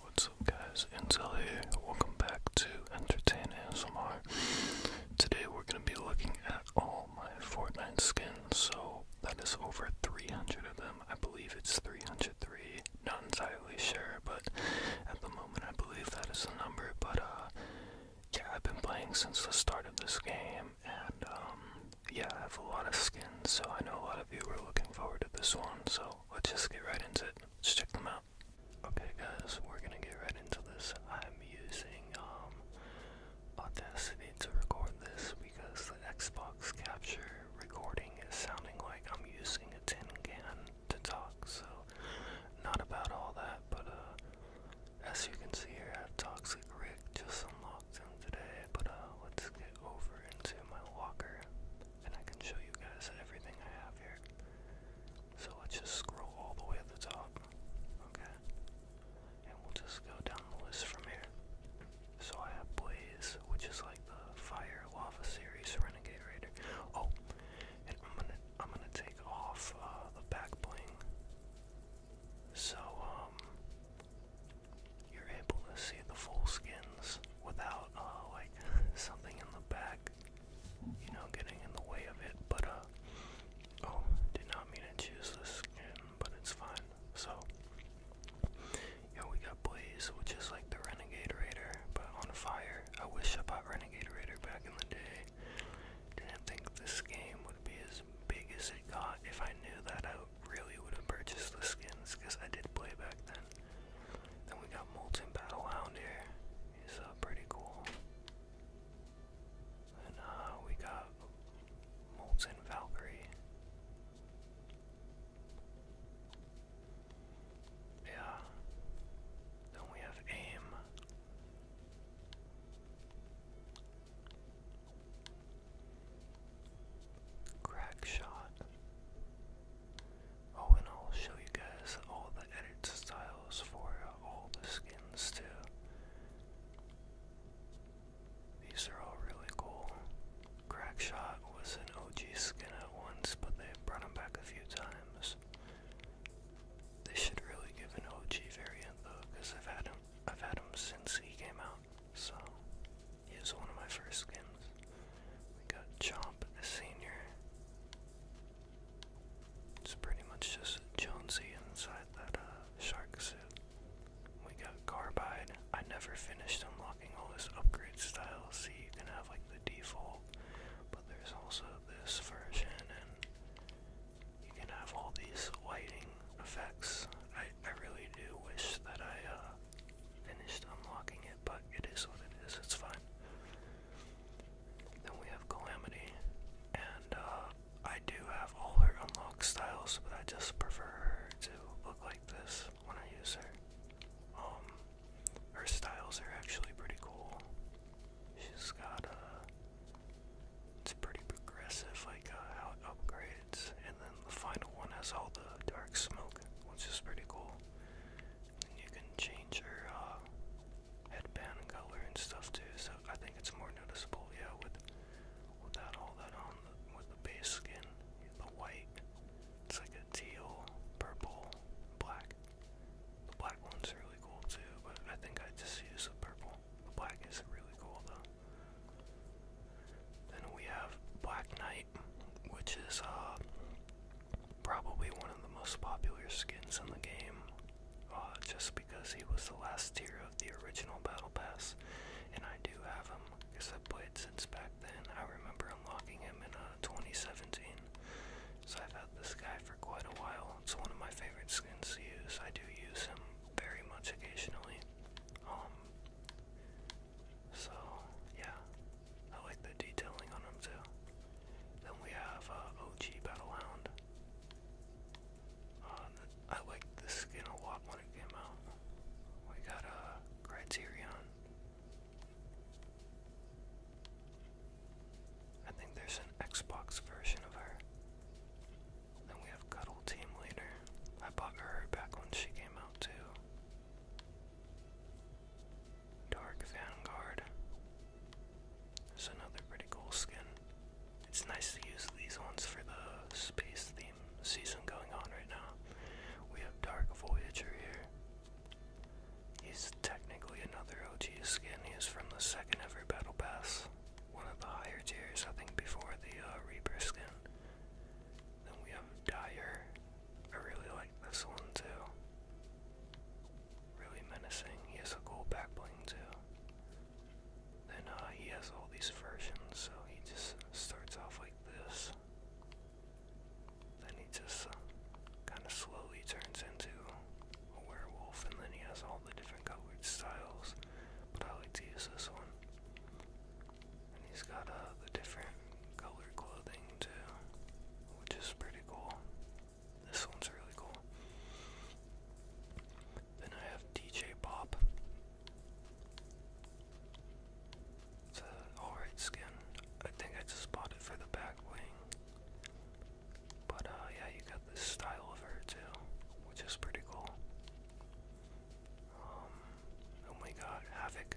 What's up guys, Intel here. Welcome back to Entertain ASMR. Today we're gonna be looking at all my Fortnite skins, so that is over 300 of them. I believe it's 303. Not entirely sure, but at the moment I believe that is the number, but uh, yeah, I've been playing since the start of this game, and um, yeah, I have a lot of skins, so I know a lot of you were looking forward to this one, so let's just get right into it. Let's check them out. Okay, guys, we're gonna get right into this. I'm using um, Audacity to record this because the Xbox Capture recording is sounding like I'm using a tin can to talk, so not about all that, but uh, as you can see here, I have Toxic Rick just unlocked him today, but uh, let's get over into my locker and I can show you guys everything I have here. So let's just scroll all the way to the top, okay? And we'll just go down the list from here. So I have Blaze, which is like the Fire Lava series Renegade Raider. Oh, and I'm gonna I'm gonna take off uh, the back bling so, um, you're able to see the full skins without, uh, like, something in the back, you know, getting in the way of it. But, uh, oh, did not mean to choose this skin, but it's fine. So, yeah, we got Blaze, which is like the Renegade Raider, but on fire. I wish I bought Renegade Raider back in the day. Didn't think this game would would be as big as it got. If I knew that, I really would have purchased the skins because I did play back then. Then we got Molten Battlehound here. He's uh, pretty cool. And uh, we got Molten Valkyrie. Yeah. Then we have AIM. Crack shot. Oh, and I'll show you guys all the edit styles for uh, all the skins too. These are all really cool. Crackshot was an OG skin at once, but they brought him back a few times. They should really give an OG variant though, because I've had him I've had him since he came out, so he was one of my first skins. We got Chomp the Senior. It's pretty much just Jonesy inside that uh, shark suit. We got Carbide. I never finished unlocking all his upgrade styles. So you can have like the default, but there's also this version, and you can have all these lighting effects. I, I really do wish that I uh, finished unlocking it, but it is what it is, it's fine. Then we have Calamity, and uh, I do have all her unlock styles, but I just prefer her to look like this when I use her. Um, her styles are actually pretty cool. She's got a uh, it's pretty progressive, like uh, how it upgrades. And then the final one has all the dark smoke, which is pretty cool. And you can change your uh, headband color and stuff too, so I think it's more noticeable, yeah, with without all that on, with the base skin, the white. It's like a teal, purple, black. The black one's really cool too, but I think I just use the purple. The black is really cool though. Then we have Black Knight, which is uh, probably one of the most popular skins in the game, uh, just because he was the last tier of the original Battle Pass, and I do have him because I played since back then. I remember unlocking him in uh, 2017, so I've had this guy for quite a while. It's one of my favorite skins to use. I do use him very much occasionally. Um, so yeah, I like the detailing on them too. Then we have uh, OG Battlehound. Uh, I liked the skin a lot when it came out. We got a uh, Criterion. I think there's an Xbox version of her. Then we have Cuddle Team Leader. I bought her back when she came out too. Dark Vanguard. There's another pretty cool skin. It's nice to use these ones for the space theme season going on right now. We have Dark Voyager here. He's technically another OG skin. He is from the second every Battle Pass one of the higher tiers, I think before the uh, Reaper skin. Then we have Dire. I really like this one too. Really menacing. He has a cool back bling too. Then uh, he has all these versions, so he just starts off like this. Then he just uh, kind of slowly turns into a werewolf, and then he has all the different colored styles, but I like to use this one. And he's got uh, the different colored clothing too, which is pretty cool. This one's really cool. Then I have DJ Pop. It's an alright skin. I think I just bought it for the back wing. But uh, yeah, you got this style of her too, which is pretty cool. Um, oh my Havoc.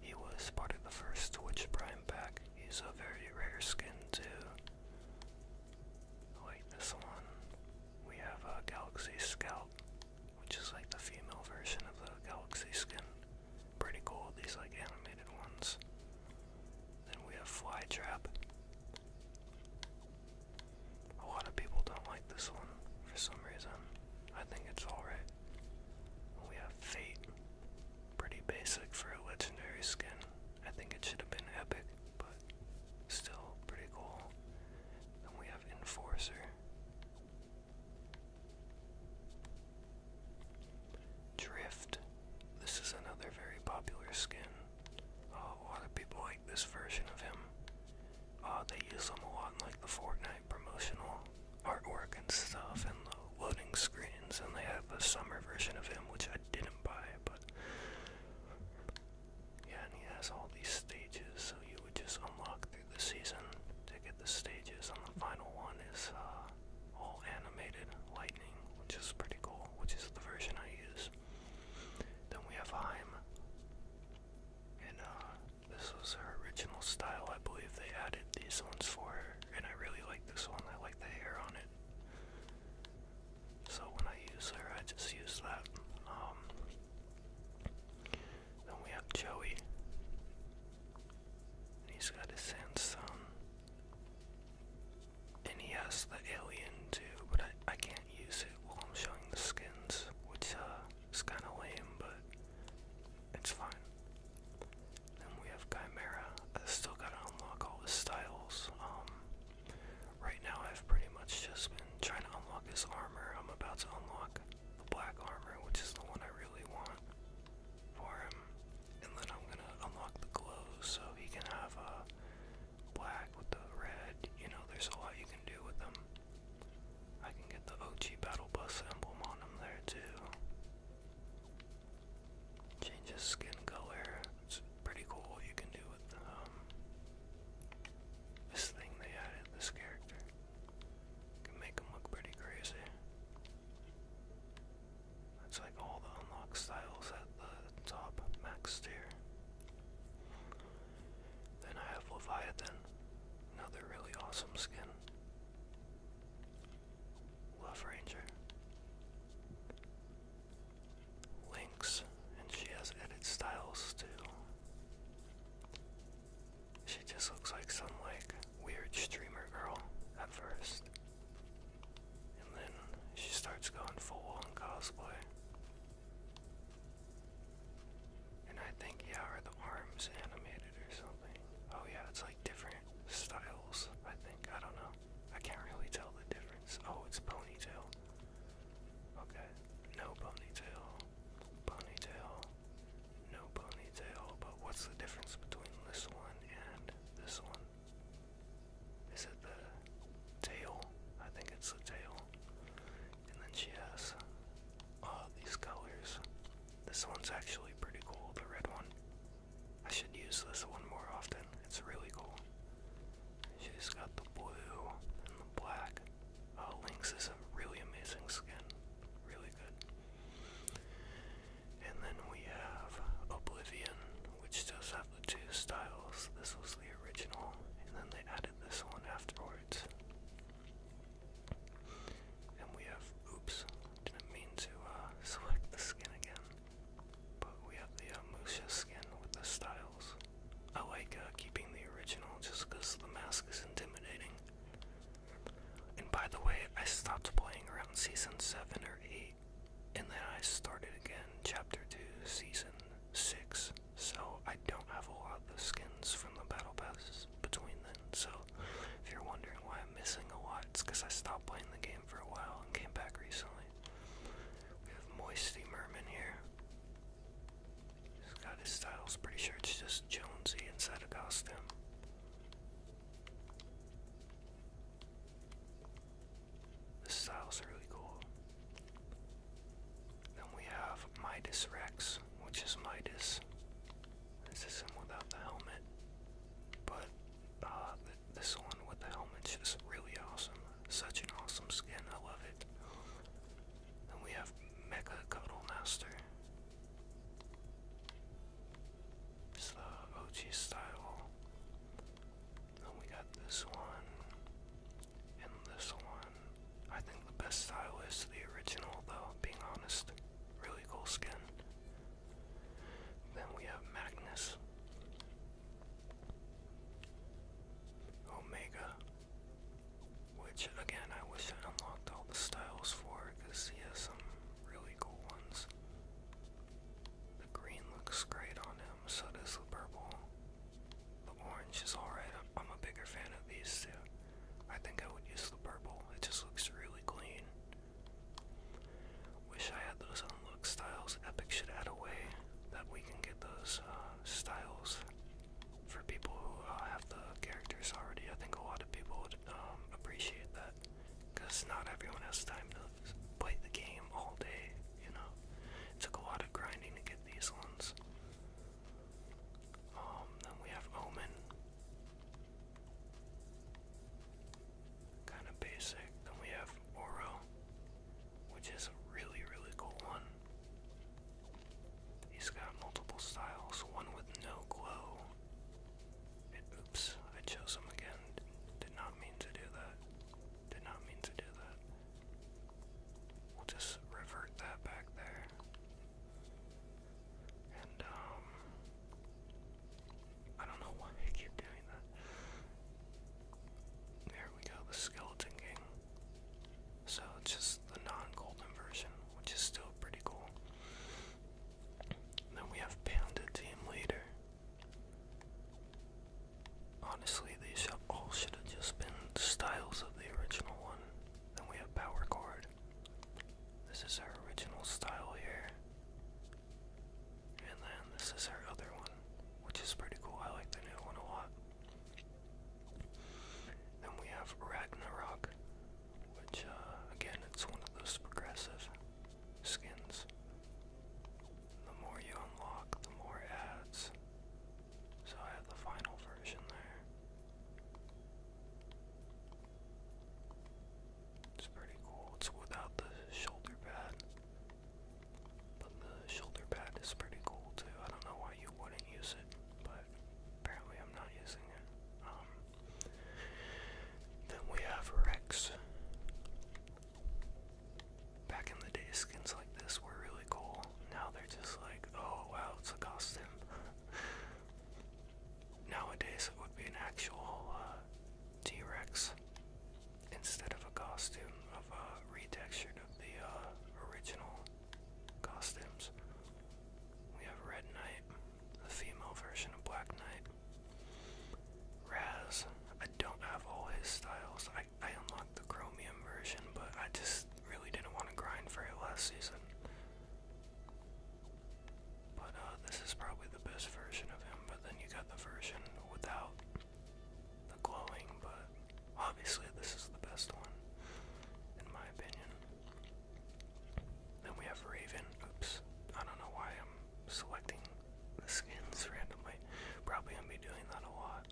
He was part of the first Twitch Prime pack. He's a very rare skin too. Like this one, we have a Galaxy Scout, which is like the female version of the Galaxy skin. Pretty cool, these like animated ones. Then we have Flytrap. A lot of people don't like this one for some reason. I think it's alright. We have Fate. Pretty basic for a legendary skin. I think it should have been epic, but still pretty cool. Then we have Enforcer. Drift. This is another very popular skin. Oh, a lot of people this version of him. Uh, they use them a lot in like the Fortnite promotional artwork and stuff and the loading screens and they have a summer version of him which I didn't buy but yeah and he has all these stages so you would just unlock through the season to get the stages and the final one is uh, all animated lightning which is pretty cool which is the version I use. Then we have Heim and uh, this was her original style. I believe they added these ones for her, and I really like this one. I like the hair on it. So when I use her, I just use that. Um, then we have Joey. he's got his sandstone. And he has the alien too, but I, I can't use it while I'm showing the skins, which uh, is kind of lame, but it's fine. Then we have Chimera. I still gotta unlock all his styles. Um, right now I've pretty much just been trying to unlock his armor. I'm about to unlock the black armor, which is the one I really want for him. And then I'm gonna unlock the glows so he can have uh, black with the red. You know, there's a lot you can do with them. I can get the OG Battle Bus emblem on them there too. Change skin color. It's pretty cool you can do with um, this thing they added, this character. Can make him look pretty crazy. That's like all the unlock styles at the top max tier. Then I have Leviathan, another really awesome skin. Love Ranger. Lynx, and she has edit styles too. She just looks like some like weird streamer girl at first. And then she starts going full on cosplay. And I think, yeah, are the arms animated or something? Oh, yeah, it's like different styles, I think. I don't know. I can't really tell the difference. Oh, it's ponytail. Okay. No ponytail. Ponytail. No ponytail. But what's the difference between this one and this one? Is it the tail? I think it's the tail. And then she has all uh, these colors. This one's actually pretty cool, the red one. I should use this one more often. It's really cool. She's got the blue and the black. Uh, Lynx is a really amazing skin. Really good. And then we have Oblivion, which does have the two styles. This was the original, and then they added this one afterwards. And we have, oops, didn't mean to uh, select the skin again. But we have the uh, skin with the styles. I like uh, keeping the original just because the mask is intimidating. And by the way, I stopped playing around season 7 or 8, and then I started again, chapter 2, season 6. So I don't have a lot of skins from the battle passes between them. So if you're wondering why I'm missing a lot, it's because I stopped playing the game for a while and came back recently. We have Moisty Merman here. He's got styles. Pretty sure it's just Jonesy inside a costume. The styles are really cool. Then we have Midas Rex, which is Midas. This is him without the helmet, but uh, this one with the helmet's just really awesome. Such an awesome skin, I love it. Then we have Mecha Cuddle Master. It's the OG style. Then we got this one. And this one, I think the best style is the original, though, being honest. Really cool skin. Then we have Magnus, Omega, which again I wish I unlocked all the styles for because he has some really cool ones. The green looks great on him, so does the purple. The orange is alright. I'm, a bigger fan of these two. I think I would use the purple. It just looks really clean. Wish I had those on look styles. Epic should add a way that we can get those uh, styles for people who uh, have the characters already. I think a lot of people would um, appreciate that because not everyone has time to play the game all day, you know. It took a lot of grinding to get these ones. Um, then we have Omen. Kind of basic. Then we have Oro, which is a really, really cool one. He's got multiple styles, one with no glow. oops, I chose him again. Did not mean to do that. Did not mean to do that. We'll just revert that back there. And, um, I don't know why I keep doing that. There we go, the Skeleton King. So just the non golden version, which is still pretty cool. Then we have Panda Team Leader. Honestly, these all should have just been styles of the original one. Then we have power cord. This is our original style here. And then this is our other one, which is pretty cool. I like the new one a lot. Then we have Ragnarok, which, uh, again, it's one of those progressive skins. The more you unlock, the more ads so I have the final version there. It's pretty cool. It's without the shoulder pad. But the shoulder pad is pretty cool too. I don't know why you wouldn't use it, but apparently I'm not using it. Um, then we have Rex. Back in the day, skins this were really cool. Now they're just like, oh wow, it's a costume. Nowadays it would be an actual uh, T-Rex instead of a costume of a uh, retextured of the uh, original costumes. We have Red Knight, the female version of Black Knight. Raz, I don't have all his styles. I I unlocked the Chromium version, but I just really didn't want to grind for it last season. But uh, this is probably the best version of him, but then you got the version without the glowing, but obviously this is the best one, in my opinion. Then we have Raven. Oops, I don't know why I'm selecting the skins randomly. Probably gonna be doing that a lot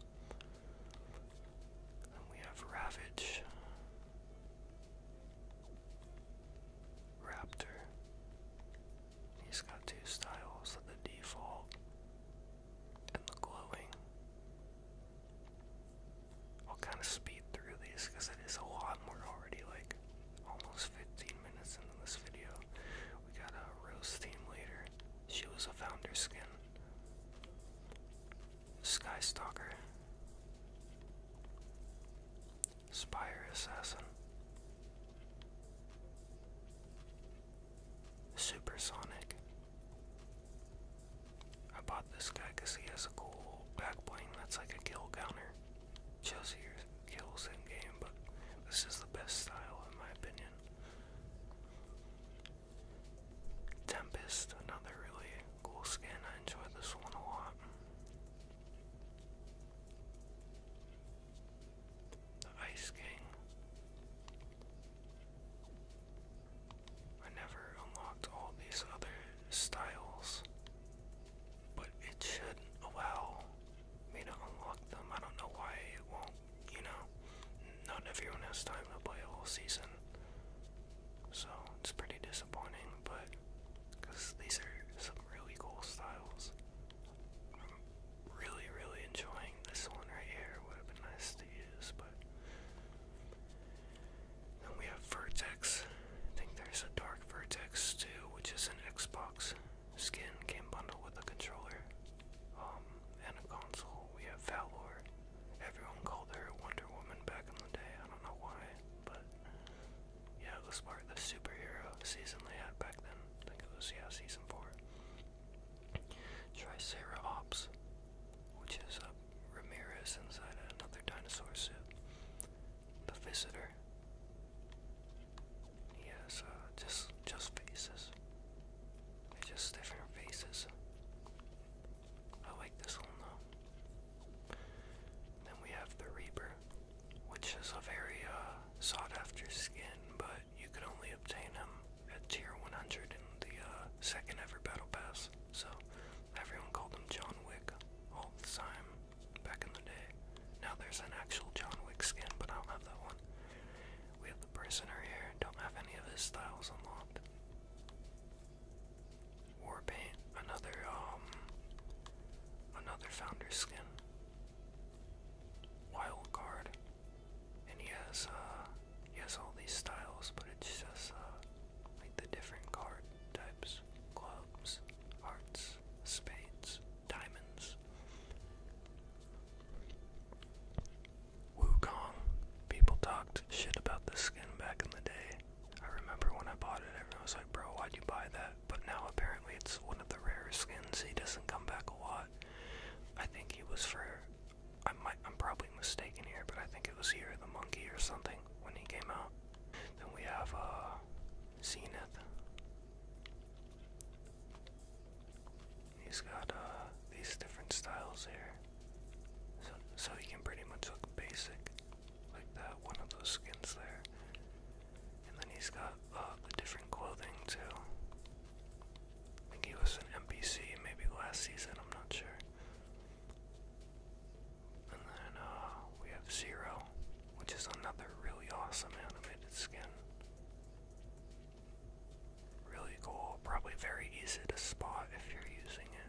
we have Ravage, Raptor. He's got two styles of the default and the glowing. I'll kind of speed through these because it is a lot more already, like almost 15 minutes into this video. We got a Rose Team later. She was a founder skin. Sky Stalker, Spire Assassin, Supersonic. I bought this guy because he has a cool back bling that's like a kill counter. Shows your kills in game, but this is the best style in my opinion. Tempest, another really cool skin. I enjoy this one a lot. The Ice King. I never unlocked all these other styles, but it should allow me to unlock them. I don't know why it won't, you know. Not everyone has time to play a season. So it's pretty disappointing, but because these are some really cool styles. I'm really, really enjoying this one right here. Would have been nice to use, but then we have Vertex. I think there's a Dark Vertex too, which is an Xbox skin game bundle with a controller um, and a console. We have Valor. Everyone called her Wonder Woman back in the day. I don't know why, but yeah, it was part of the superhero season they had back then. think it was yeah, season four. Triceratops, which is a Ramirez inside another dinosaur suit. The Visitor. He uh, just just faces. just different faces. I like this one though. Then we have the Reaper, which is a very uh, sought after skin, but you can only obtain him at tier 100 in the uh, second ever battle pass. So everyone called him John Wick all the time back in the day. Now there's an actual John Wick skin, but I don't have that one. We have the Prisoner here, don't have any of his styles unlocked. War paint, another um another founder skin. Wild card. And he has uh he has all these styles, but it's just uh like the different card types. Clubs, hearts, spades, diamonds. Wukong. People talked shit about this skin back in the day. I remember when I bought it, everyone was like, bro, why'd you buy that? But now apparently it's one of the rarest skins. He doesn't come back a lot. I think he was for. I might, I'm probably mistaken here, but I think it was here the monkey or something when he came out. Then we have uh, Zenith. He's got uh, these different styles here. So, he can pretty much look basic, like that, one of those skins there. And then he's got uh, the different clothing too. I think he was an NPC maybe last season, I'm not sure. And then uh, we have Zero, which is another really awesome animated skin. Really cool, probably very easy to spot if you're using it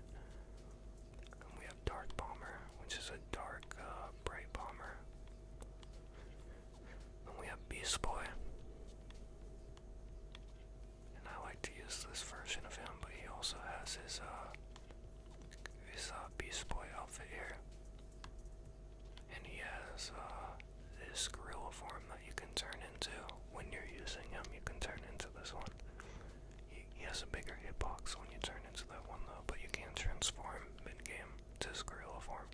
we have Dark Bomber, which is a dark, uh, bright bomber. And we have Beast Boy. And I like to use this version of him, but he also has his, uh, his, uh, Beast Boy outfit here. And he has, uh, this gorilla form that you can turn into. When you're using him, you can turn into this one. He, has a bigger hit box when you turn into that one though, but you can transform mid-game to his form.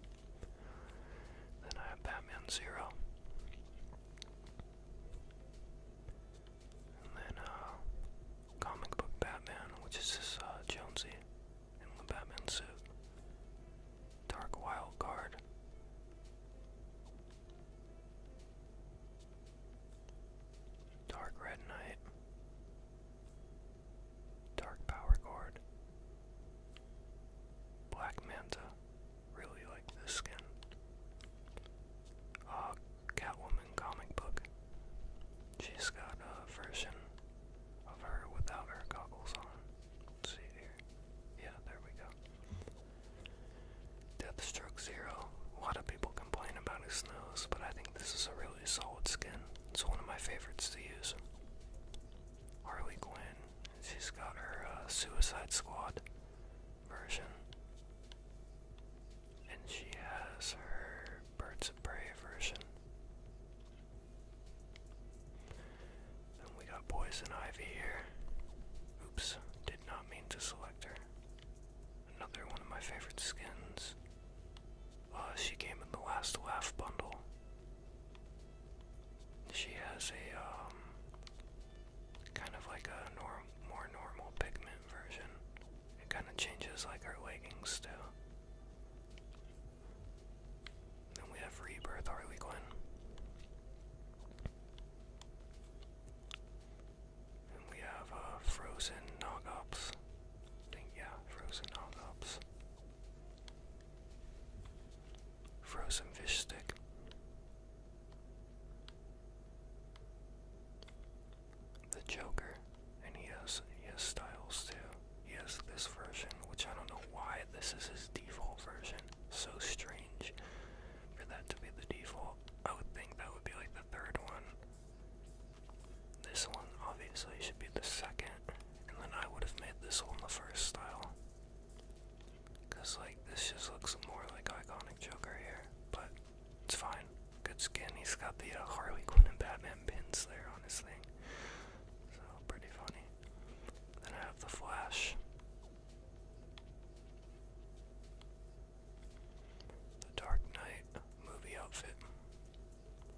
Then I have Batman Zero. And then uh, comic book Batman, which is this uh Jonesy in the Batman suit. Dark Wild Card. Dark Red Knight, Dark Power Cord, Black Manta. Really like this skin. Uh, Catwoman comic book. She's got a version of her without her goggles on. see here. Yeah, there we go. Deathstroke Zero. A lot of people complain about his nose, but I think this is a really solid skin. It's one of my favorites to use. Harley Quinn. She's got her uh, Suicide Squad version. And she has her Birds of Prey version. Then we got Poison Ivy here. Oops, did not mean to select her. Another one of my favorite skins. Uh, she came in the last laugh bundle. She has a um, kind of like a more normal pigment version. It kind of changes like her leggings too. Then we have Rebirth Harley Quinn. And we have uh, Frozen Nogops. yeah, Frozen Nogops. Frozen Fish Stick. The Joker. And he has, he has styles too. He has this version, which I don't know why this is his default version. So strange for that to be the default. I would think that would be like the third one. This one obviously should be the second, and then I would have made this one the first style. Cause like this just looks more like iconic Joker here, but it's fine. Good skin. He's got the uh, Harley Quinn and Batman pins there on his thing, so pretty funny. Then I have the Flash. The Dark Knight movie outfit.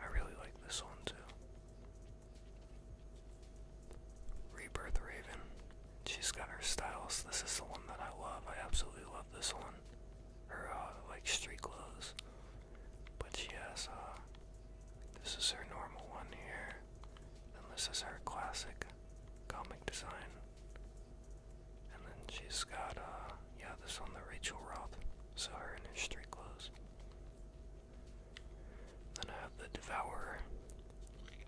I really like this one too. Rebirth Raven. She's got her styles. This is the one that I love. I absolutely love this one. Her, uh, like, street clothes. But she has, uh, this is her normal one here. And this is her classic comic design. And then she's got, uh, yeah, this one the Rachel Roth, so her in her street clothes. Then I have the Devourer.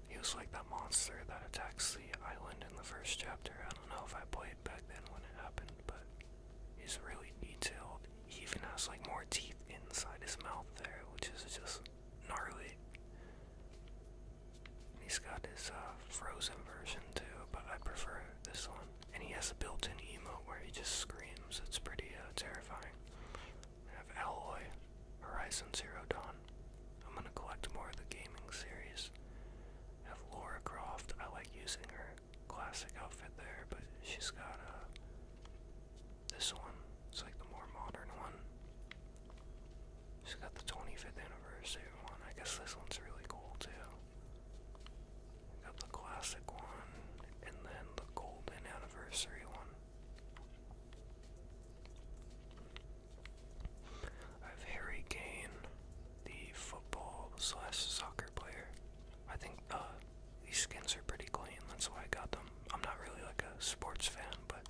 He was like that monster that attacks the island in the first chapter. I don't know if I played back then when it happened, but he's really detailed. He even has like more teeth inside his mouth there, which is just gnarly. He's got his uh, frozen version too, but I prefer this one. And he has a built-in emote where he just screams. It's pretty uh, terrifying. have Alloy, Horizon Zero Dawn. I'm gonna collect more of the gaming series. have Laura Croft. I like using her classic outfit there, but she's got uh, this one. It's like the more modern one it got the 25th anniversary one. I guess this one's really cool too. Got the classic one and then the golden anniversary one. I have Harry Kane, the football soccer player. I think uh, these skins are pretty clean. That's why I got them. I'm not really like a sports fan, but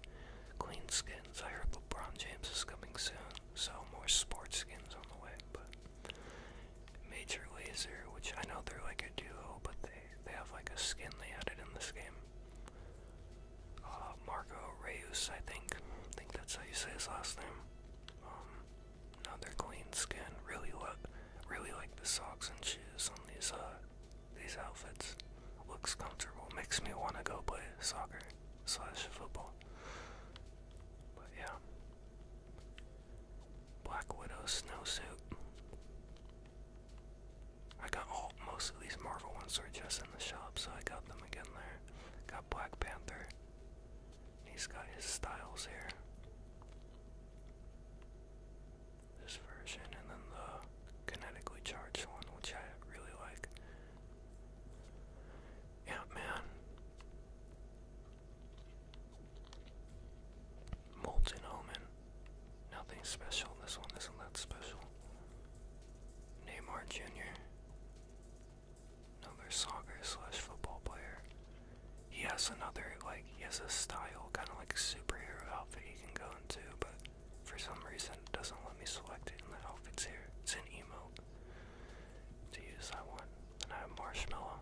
clean skins. I heard LeBron James is coming soon, so more sports skins on the way. But Major Laser, which I know they're like a duo, but they they have like a skin they added in this game. Uh, Marco Reus, I think. think that's how you say his last name. Um, another clean skin. Really look, really like the socks and shoes on these uh these outfits. Looks comfortable. Makes me want to go play soccer slash football. But yeah. Black Widow snowsuit. I got all most of these Marvel ones were just in the shop, so I got them again there. Got Black Panther. He's got his styles here. This version and then the kinetically charged one, which I really like. Yeah, man. Molten Omen. Nothing special. This one isn't that special. Neymar Jr. Another soccer slash football player. He has another, like, he has a style, kind of like a superhero outfit he can go into, but for some reason it doesn't let me select it in the outfits here. It's an emote to use that one. And I have Marshmallow.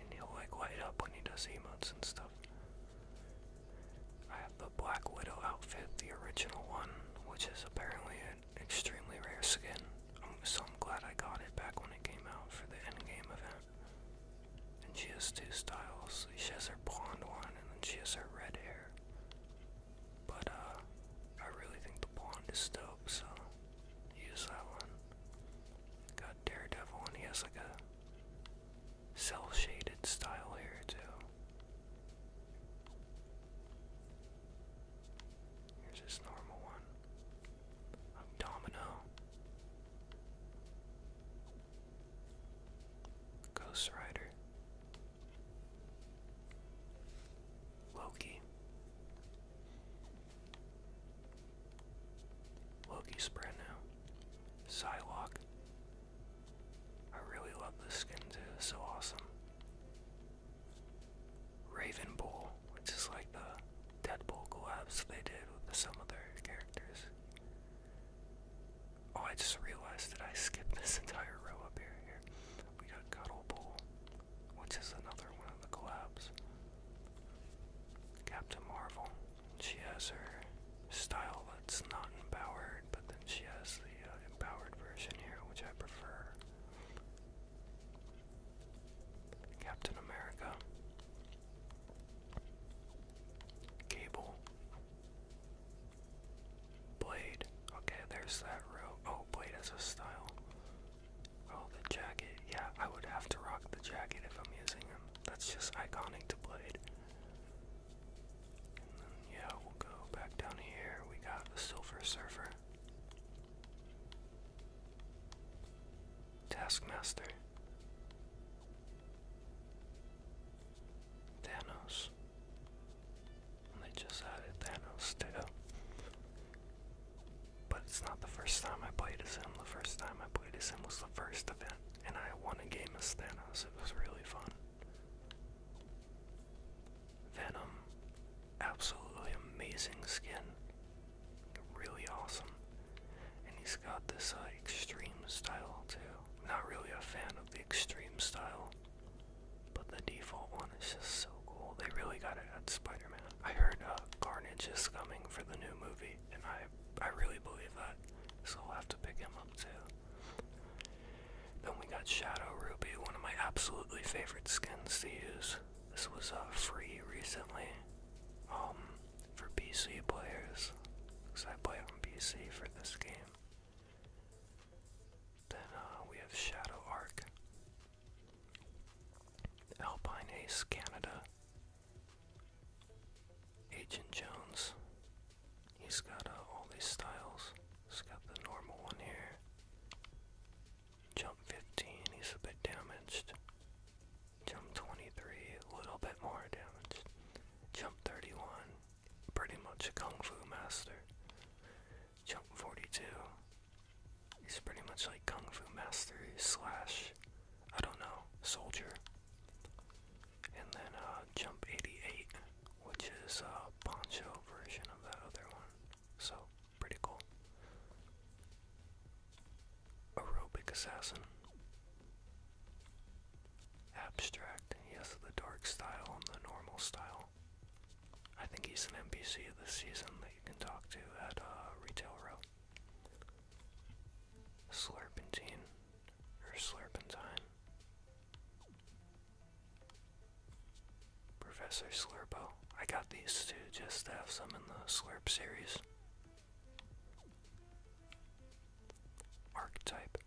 And he'll like light up when he does emotes and stuff. I have the Black Widow outfit, the original one, which is apparently an extremely rare skin. Um, so I'm glad I got it back when it came out for the end game event. And she has two styles. She has her blonde one, and then she has her red hair. But uh I really think the blonde is dope, so use that one. Got Daredevil and he has like a cell shaded style here too. Here's his normal one. I'm Domino. Ghost Rider. Loki. Loki spread now. Psylocke. I really love this skin too, so awesome. Raven Bull, which is like the Deadpool collabs they did with some of their characters. Oh, I just realized that I skipped this entire row up here. Here, we got Cuddle which is another one of the collabs. Captain Marvel. She has her style that's not empowered, but then she has the uh, empowered version here, which I prefer. Captain America. Cable. Blade. Okay, there's that row. Oh, Blade has a style. Oh, the jacket. Yeah, I would have to rock the jacket if I'm using him. That's just iconic to Blade. yeah, we'll go back down here. We got the Silver Surfer. Taskmaster. Thanos they just added Thanos too. But it's not the first time I played as him. The first time I played as him was the first event, and I won a game as Thanos. It was really fun. Venom, absolutely amazing skin, really awesome. And he's got this uh, extreme style too. Not really a fan of extreme style. But the default one is just so cool. They really got it at Spider-Man. I heard uh, Carnage is coming for the new movie, and I I really believe that. So I'll have to pick him up too. Then we got Shadow Ruby, one of my absolutely favorite skins to use. This was uh, free recently um, for PC players, because I play on PC for this game. Then uh, we have Shadow Arc, Alpine Ace Canada, Agent Jones. He's got uh, all these styles. He's got the normal one here. Jump 15, he's a bit damaged. Jump 23, a little bit more damaged. Jump 31, pretty much a kung fu master. Jump 42. He's pretty much like kung fu master slash, I don't know, soldier. And then uh, jump 88, which is a poncho version of that other one. So pretty cool. Aerobic assassin. Abstract. He the dark style and the normal style. I think he's an NPC this season that you can talk to at uh, Retail Row. Slurpentine or Slurpentine. Professor Slurpo. I got these two just to have some in the Slurp series. Archetype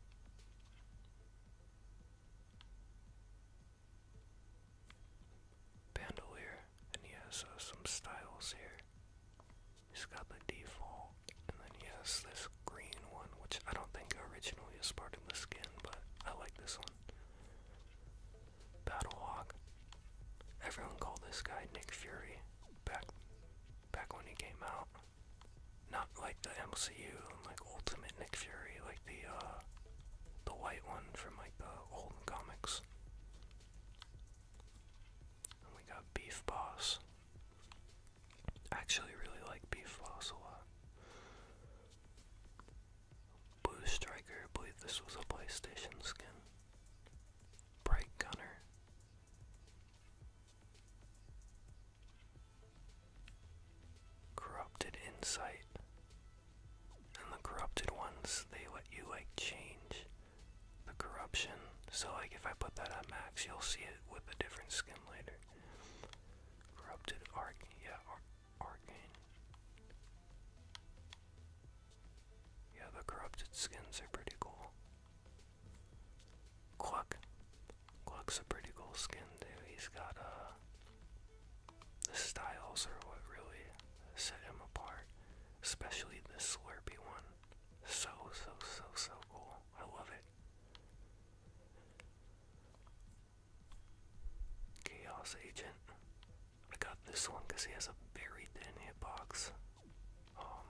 bandolier, and he has uh, some styles here. He's got the default, and then he has this green one, which I don't think originally is part of the skin, but I like this one. Battlehawk. Everyone called this guy Nick Fury back back when he came out. Not like the MCU, like Ultimate Nick Fury, like the uh, the white one from like the old comics. we got Beef Boss. actually really like Beef Boss a lot. Blue Striker, I believe this was a PlayStation skin. Bright Gunner corrupted insight. And the corrupted ones, they let you like change the corruption. So like if I put that on max, you'll see it with a different skin later. Corrupted arc, yeah, arcane. Yeah, the corrupted skins are pretty cool. Cluck. Gluck's a pretty cool skin too. He's got uh the styles are what really set him apart. Especially this Slurpy one. So so so so cool. I love it. Chaos Agent. I got this one because he has a very thin hitbox. box, um,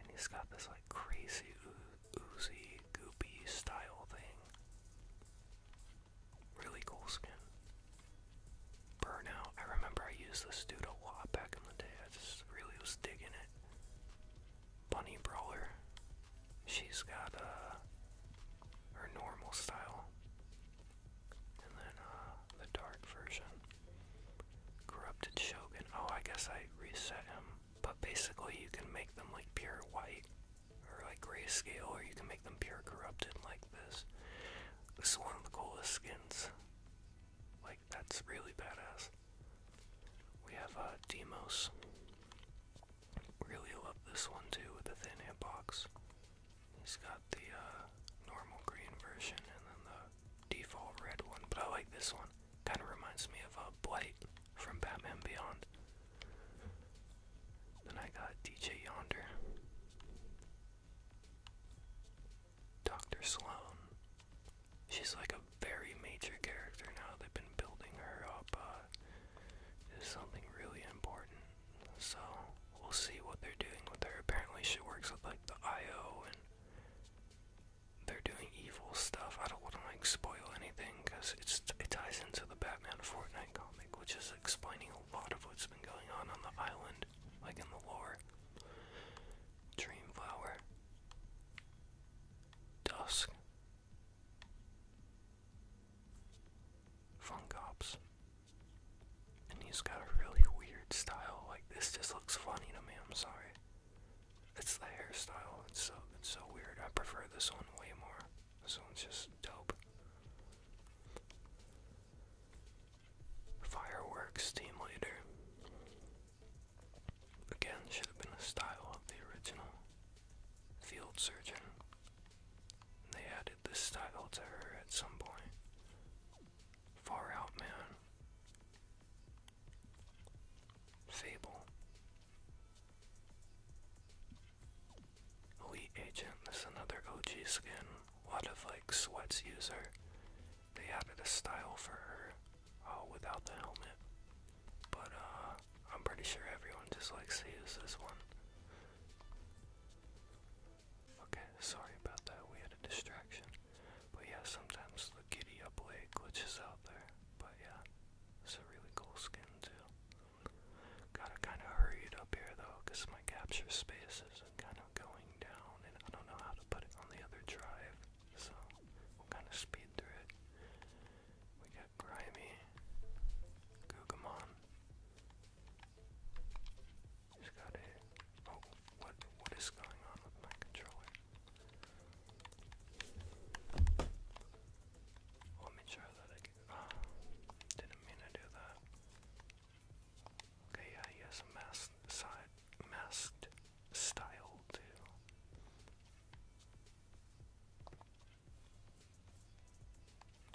and he's got this like crazy oozy goopy style thing. Really cool skin. Burnout. I remember I used this dude a lot back in the day. I just really was digging it. Bunny Brawler. She's got a uh, her normal style. And then uh, the dark version. Corrupted Shogun. Oh, I guess I reset him. But basically you can make them like pure white or like grayscale, or you can make them pure corrupted like this. This is one of the coolest skins. Like, that's really badass. We have uh, Demos. Really love this one too with the thin hip box. He's got the uh, normal green version and then the default red one, but I like this one. Kind of reminds me of a uh, Blight from Batman Beyond. Then I got DJ Yonder, Dr. Sloan. She's like a very major character now. They've been building her up. Uh, something really important. So we'll see what they're doing with her. Apparently, she works with like the IO and they're doing evil stuff. I don't want to like spoil anything because it ties into the Batman Fortnite comic, which is explaining a lot of what's been going on on the island, like in the lore. Dreamflower, Dusk, Funkops, and he's got a really weird style. Like this just looks funny to me. I'm sorry. It's the hairstyle. It's so it's so weird. I prefer this one way more. This one's just dope. Fireworks team leader. Again, should have been a style of the original. Field surgeon. They added this style to her at some point. Far out man. Fable. Elite Agent is another OG skin, What if like Sweats user. They added a style for her uh, without the helmet, but uh, I'm pretty sure everyone just likes to use this one. Okay, sorry about that, we had a distraction. But yeah, sometimes the giddy up leg glitches out there. But yeah, it's a really cool skin too. Gotta kind of hurry it up here though, because my capture space is kind of going down, and I don't know how to put it on the other drive, so we'll kind of speed through it. We got Grimy, Gugamon. he got a. Oh, what? What is going on with my controller? Well, let me try that again. Uh, didn't mean to do that. Okay, yeah, he has a masked side, masked style too.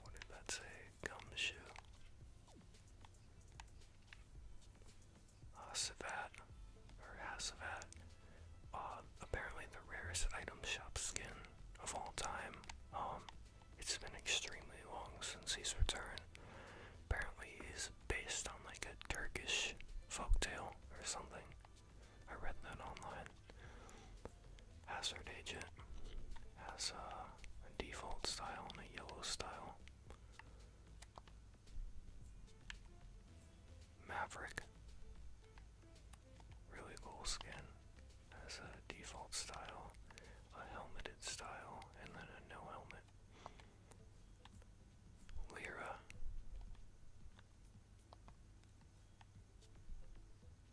What did that say? Gumshoe. Ah, or Hasavat. Ah, apparently the rarest item shop skin of all time. Um, it's been extremely long since his return. Apparently, he's based on like a Turkish folk tale or something. I read that online. Hazard Agent has a default style and a yellow style. Maverick Really cool skin. as a default style, a helmeted style, and then a no helmet. Lyra.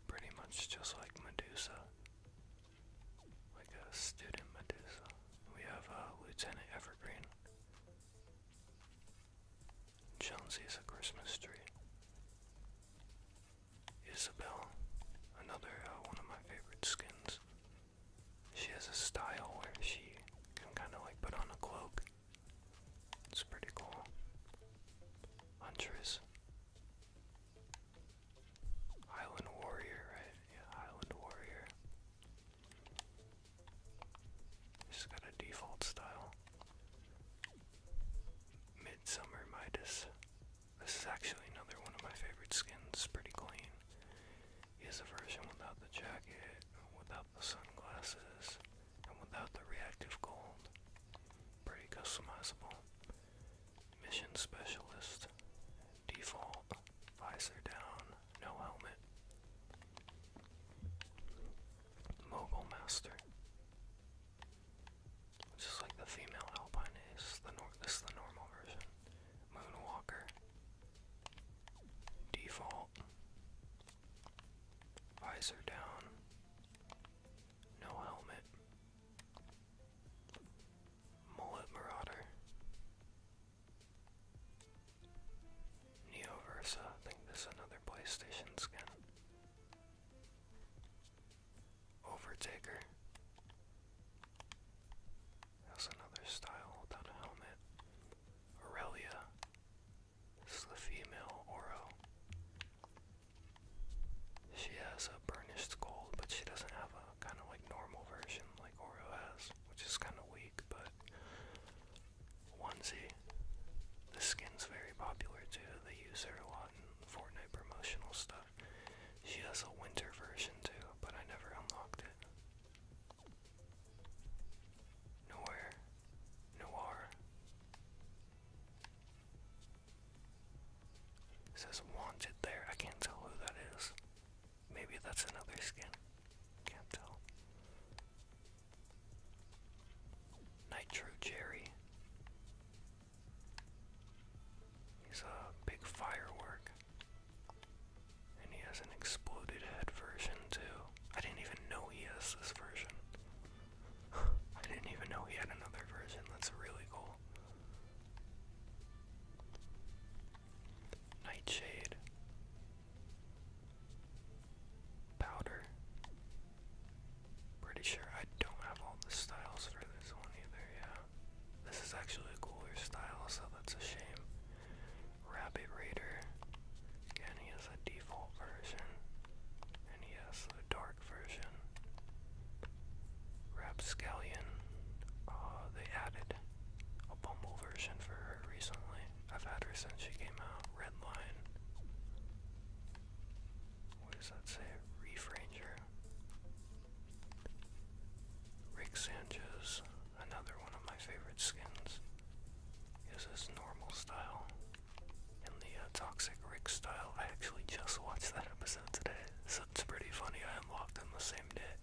Pretty much just like Medusa. Like a student Medusa. We have a uh, Lieutenant Evergreen. Jonesy's a Christmas tree. Isabelle, another uh, one of my favorite skins. She has a style where she can kind of like put on a cloak. It's pretty cool. Huntress. Island Warrior, right? Yeah, Island Warrior. She's got a default style. Midsummer Midas. This is actually another one of my favorite skins, pretty clean. He a version without the jacket, without the sunglasses, and without the reactive gold. Pretty customizable. Mission Specialist. Default. Visor down. No helmet. Mogul Master. This is like the female alpine is, the nor this is the normal version. Moonwalker. Default. Visor down. No helmet. Mullet Marauder. Neoversa. I think this is another PlayStation skin. Overtaker. That's another style without a helmet. Aurelia. This is the female Oro. She has a burnished gold, but she doesn't have a kind of like normal version like Oro has, which is kind of weak, but onesie. This skin's very popular too. The user her a lot Fortnite promotional stuff. She has a winter version too, but I never unlocked it. Nowhere. Noir. says wanted there. I can't tell who that is. Maybe that's another skin. Can't tell. Nitro Jerry. He's a big firework. And he has an exploded head version too. I didn't even know he has this version. I didn't even know he had another version. That's really cool. Nightshade. Powder. Pretty sure I don't have all the styles for this one either, yeah. This is actually a cooler style, so that's a shame. Rabbit Raider. Again, he has a default version. And he has a dark version. Rapscallion. Uh, they added a Bumble version for her recently. I've had her since she came out. Red what does that say? Reef Ranger. Rick Sanchez, another one of my favorite skins, is his normal style. And the uh, Toxic Rick style, I actually just watched that episode today, so it's pretty funny. I unlocked them the same day.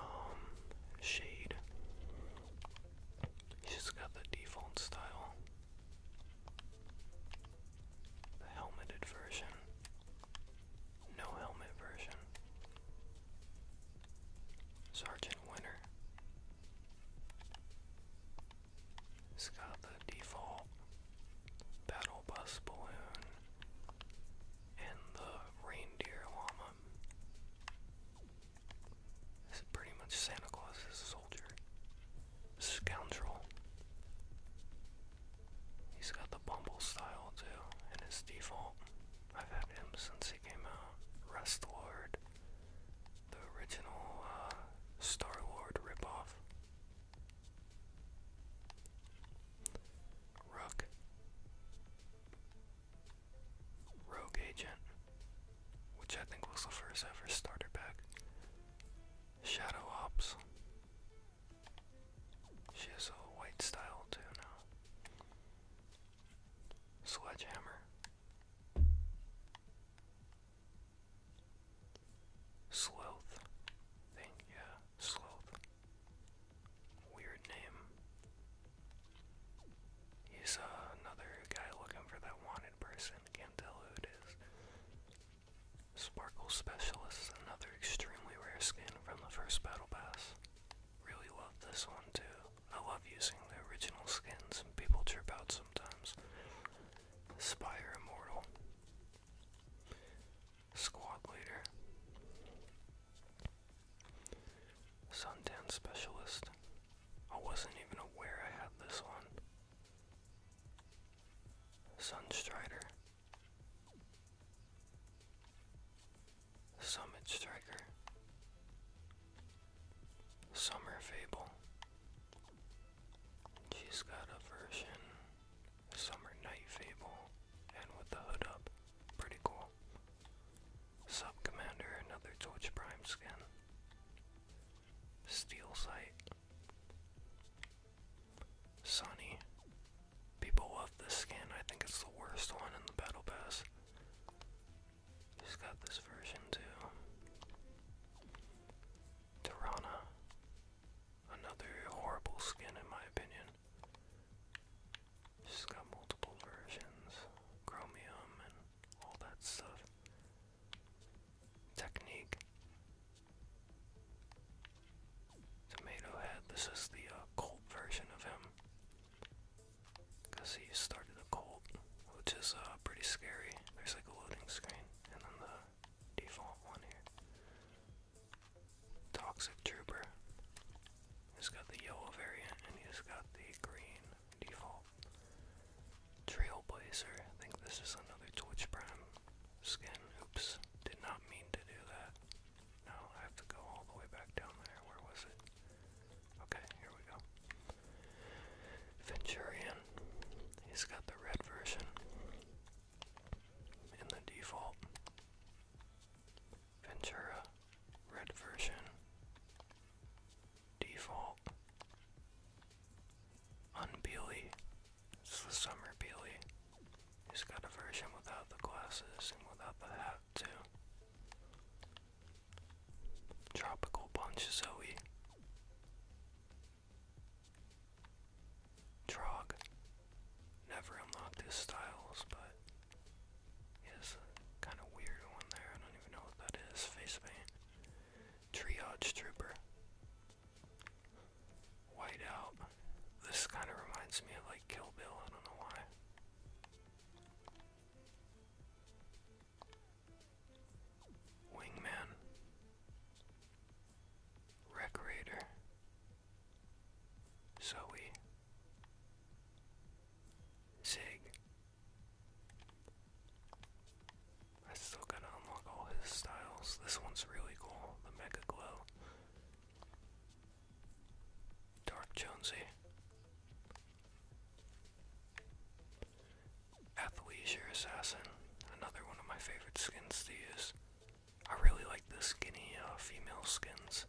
Um, Shade he has got the default style, the helmeted version, no helmet version. Sergeant Winter. It's got the default battle bus balloon and the reindeer llama. This is pretty much Santa Claus as a soldier. Scoundrel. He's got the bumble style too, and his default. I've had him since he came out. Rest The original uh, Star Lord ripoff. Rook. Rogue Agent which I think was the first ever starter pack. Shadow Ops. She has a white style too now. Sledgehammer. Sloth. Thing, yeah, Sloth. Weird name. He's uh, another guy looking for that wanted person, can't tell who it is. Sparkle Specialist, another extremely rare skin from the first Battle Pass. Really love this one too. I love using the original skins people trip out sometimes. Spire Immortal. Squad Leader. Suntan Specialist. I wasn't even aware I had this one. Sunstrider. Summit Striker. Summer Fable. She's got a version. Summer Night Fable. And with the hood up. Pretty cool. Sub Commander, another Torch Prime skin. Steel Sight. Sunny. People love this skin. I think it's the worst one in the Battle Pass. He's got this version too. Tirana. Another horrible skin in my opinion. She's got multiple versions. Chromium and all that stuff technique. Tomato Head, this is the uh, version of him. Because he started a Colt, which is uh, pretty scary. There's like a loading screen, and then the default one here. Toxic Trooper. He's got the yellow variant, and he's got the green default. Trailblazer, I think this is another Twitch Prime skin. Oops, did not mean to do that. No, I have to go all the way back down there. Where was it? Okay, here we go. Venturian, he's got the red version in the default. Ventura, red version. Default. Unbeely. It's the summer Beely. He's got a version without the glasses and without the hat too. Tropical Punch Trog. Never unlocked his styles, but he kind of weird one there. I don't even know what that is. Face paint triage trooper. Whiteout. This kind of reminds me of like Kill Bill, I don't know why. Wingman. Recreator. Zoe. Zig. I still gotta unlock all his styles. This one's really cool, the Mega Glow. Dark Jonesy. Athleisure Assassin, another one of my favorite skins to I really like the skinny uh, female skins.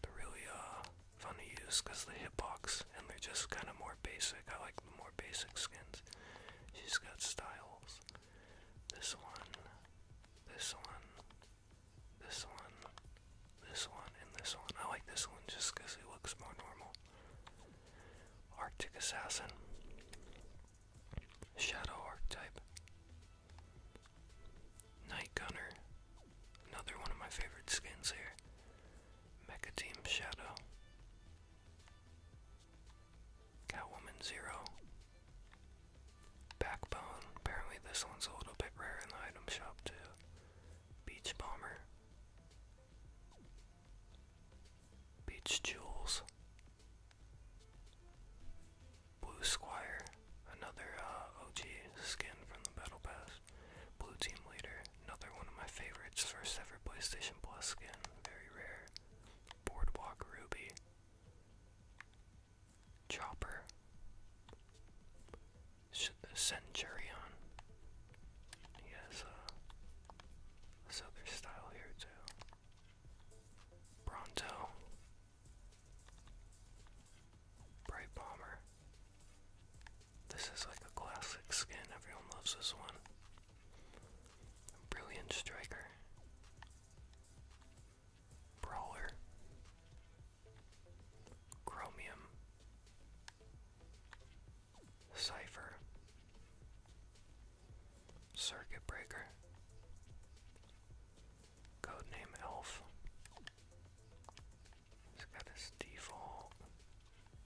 They're really uh, fun to use because the hitbox and they're just kind of more basic. I like more basic skins. She's got styles. This one, this one, this one, this one, and this one. I like this one just because it looks more normal. Arctic Assassin. Shadow Archetype. Night Gunner. Another one of my favorite skins here. Mecha Team Shadow. Catwoman Zero. Backbone. Apparently, this one's a little bit rare in the item shop, too. Beach Bomber. Beach Jewels. Blue Squire. Another uh, OG skin from the Battle Pass. Blue Team Leader. Another one of my favorites, first ever PlayStation Plus skin, very rare. Boardwalk Ruby. Chopper. Centurion. He has uh, this style here too. Bronto. Bright Bomber. This is like a classic skin, everyone loves this one. Brilliant Striker. Brawler. Chromium. Cypher. Circuit Breaker. Codename Elf. He's got his default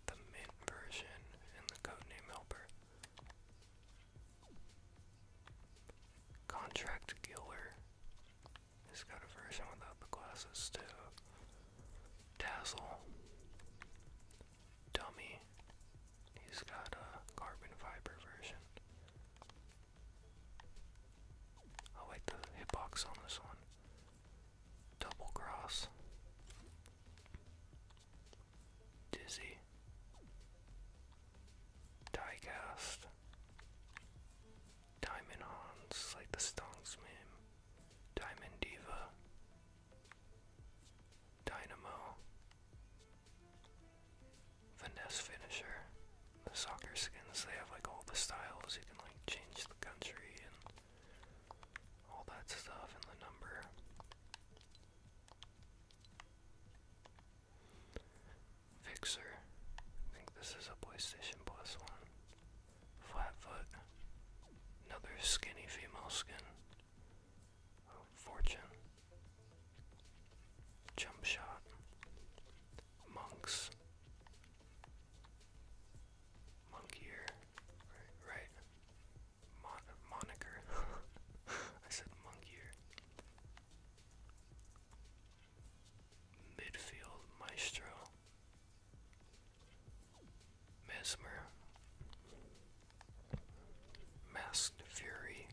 the mint version and the codename helper. Contract Killer he has got a version without the glasses too. Dazzle. Dummy. He's got a carbon fiber version. I like the hitbox on this one. Double cross. Dizzy, Diecast, Diamond Hans, like the Stonks meme, Diamond Diva, Dynamo, Finesse Finisher, the soccer skins, they have like all the styles, you can like change the country and all that stuff and the number. Fixer. I think this is a PlayStation Plus one. Flatfoot. Another skinny female skin. Oh, fortune. Jump shot. Monks. Monk ear. Right, moniker. I said monkier. Midfield maestro. Mesmer. Masked Fury.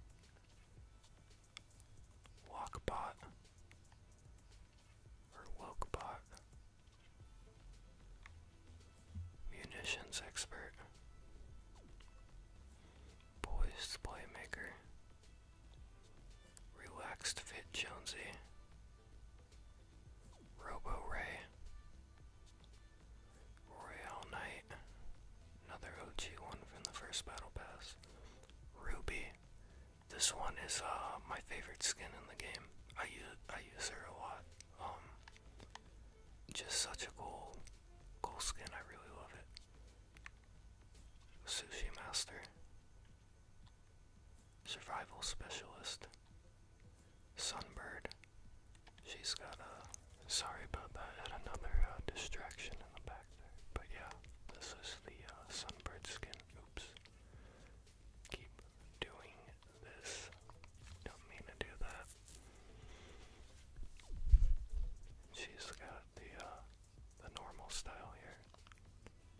Walkbot. Or Wokebot. Munitions expert. Boys playmaker. Relaxed fit Jonesy. Robo Ray. Royal Knight. Another OG one from the first battle pass. Ruby. This one is uh, my favorite skin in the game. I use I use her a lot. Um, just such a cool, cool skin. I really love it. Sushi Master. Survival Specialist. Sunbird. She's got a. Sorry about that. I had another uh, distraction in the back there. But yeah, this is the uh, Sunbird skin. Oops. Keep doing this. Don't mean to do that. She's got the uh, the normal style here,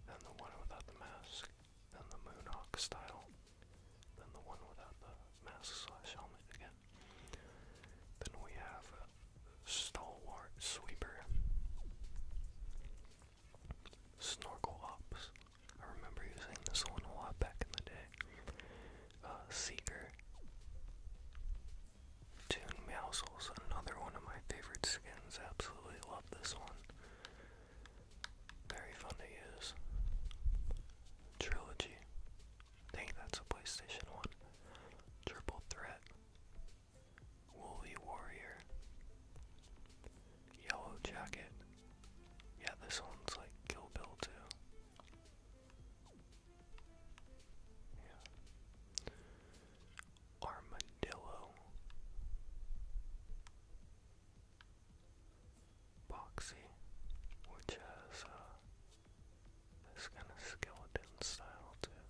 then the one without the mask, then the Moonhawk style, then the one without the mask slash helmet again. Then we have uh, Stalwart Sweeper, Snorkel Ops, I remember using this one a lot back in the day. Uh, Seeker. Tune Meowsle's another one of my favorite skins. Absolutely love this one. Very fun to use. Trilogy. think that's a PlayStation one. Triple Threat. Woolly Warrior. Yellow Jacket. Yeah, this one's like Kill Bill too. Yeah. Armadillo. Boxy, which has uh, this kind of skeleton style too.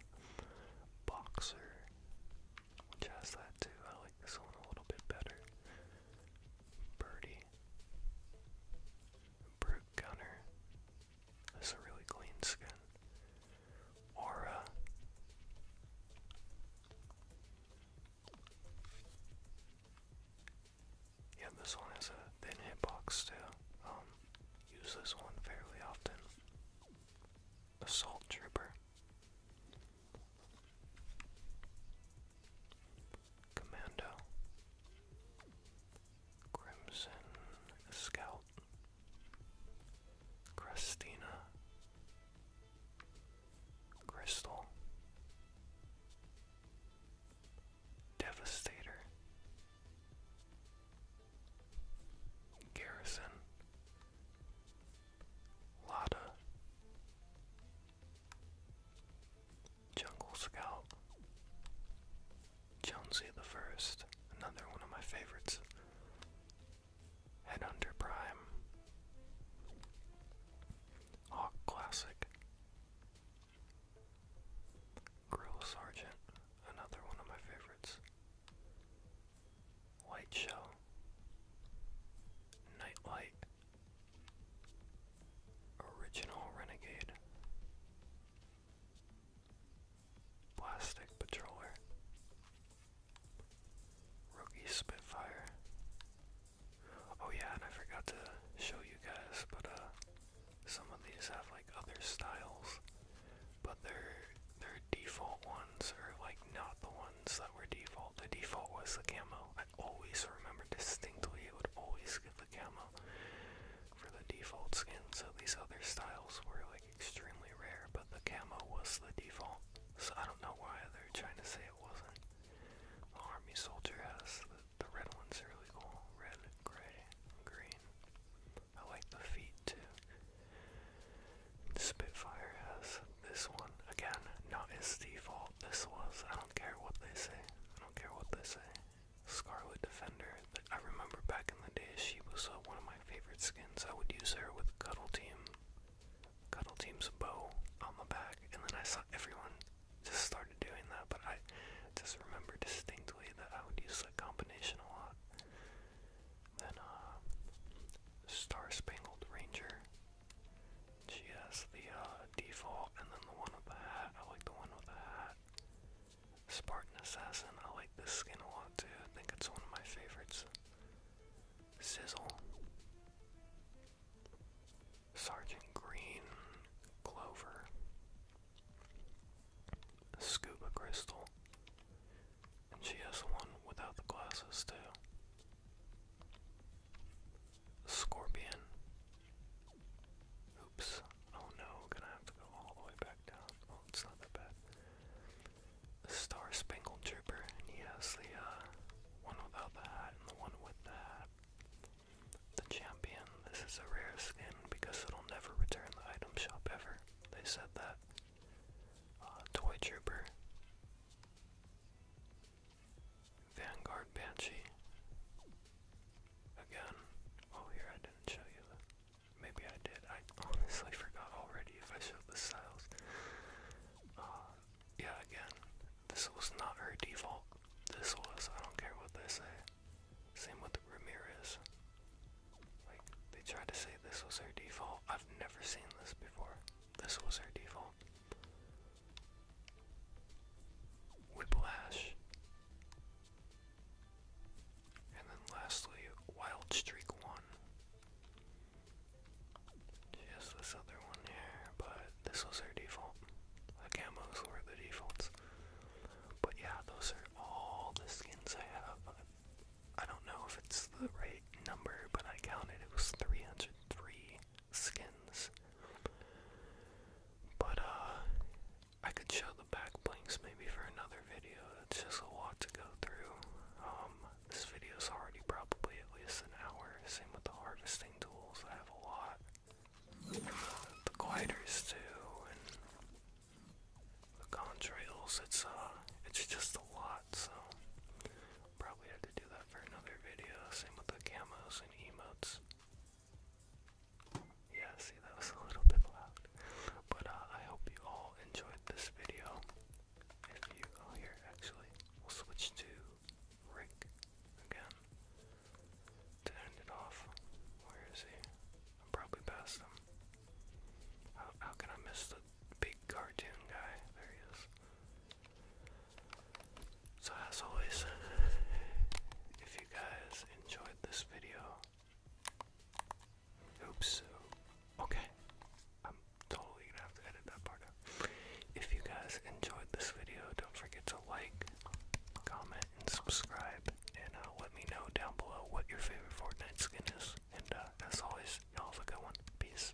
Boxer, which has that too. I like this one a little bit better. Birdie. Brute Gunner. That's a really clean skin. Aura. Yeah, this one has a thin hitbox too. Um, use this one fairly often. Assault Trooper. Commando, Crimson Scout, Christina, Crystal, Devastator, Garrison, Lada, Jungle Scout, Jonesy the First, another one of my favorites, Headhunter Prime, Hawk Classic, Grill Sergeant, another one of my favorites, White Shell, Nightlight, Original Renegade. Plastic Patroller. Rookie Spitfire. Oh yeah, and I forgot to show you guys, but uh some of these have like other styles, but their their default ones are like not the ones that were default. The default was the camo. I always remember distinctly it would always just get the camo for the default skin. So these other styles were like extremely rare, but the camo was the default. So I don't know why they're trying to say it wasn't. The army soldier has the, red ones are really cool. Red, gray, green. I like the feet too. Spitfire has this one. Again, not his default this was. I don't care what they say. I don't care what they say. Scarlet Defender. I remember back in the day, she was uh, one of my favorite skins. I would use her with Cuddle Team. Cuddle Team's bow on the back, and then I saw everyone just started doing that. But I just remember distinctly that I would use that combination a lot. Then, uh, Star Spangled Ranger. She has the uh, default and then the one with the hat. I like the one with the hat. Spartan Assassin. I like this skin a lot too. I think it's one of my favorites. Sizzle. Sergeant Green. Clover. Scuba Crystal. And she has the one without the glasses too. Scorpion. Oops. Oh no, gonna have to go all the way back down. Oh, it's not that bad. Star Spangled Trooper, and he has the uh, one without the hat and the one with the hat. The Champion, this is a rare skin because it'll never return the item shop ever. They said that. Uh, Toy Trooper. Vanguard Banshee. Again. Oh, here I didn't show you Maybe I did. I honestly forgot already if I showed the styles. Uh, yeah, again, this was not her default. This was, I don't care what they say. Same with Ramirez. Like, they tried to say this was her default. I've never seen this before. This was her default. Whiplash. And then lastly, Wild Streak 1. She this other one here, but this was her default. The camos were the defaults. But yeah, those are all the skins I have. I don't know if it's the right number, but I counted it was 303 skins. But uh I could show the back blinks maybe for another video. It's just a lot to go through. Um this video's already probably at least an hour. Same with the harvesting tools. I have a lot. The gliders too and the contrails, it's uh it's just a lot, so probably have to do that for another video. Same with the camos and emotes. Yeah, see, that was a little bit loud. But uh, I hope you all enjoyed this video. If you, oh, here, actually, we'll switch to Rick again to end it off. Where is he? I'm probably past him. how can I miss the big cartoon guy? There he is. So, as always, if you guys enjoyed this video, oops, okay, I'm totally gonna have to edit that part out. If you guys enjoyed this video, don't forget to like, comment, and subscribe, and uh, let me know down below what your favorite Fortnite skin is. And uh, as always, have a good one. Peace.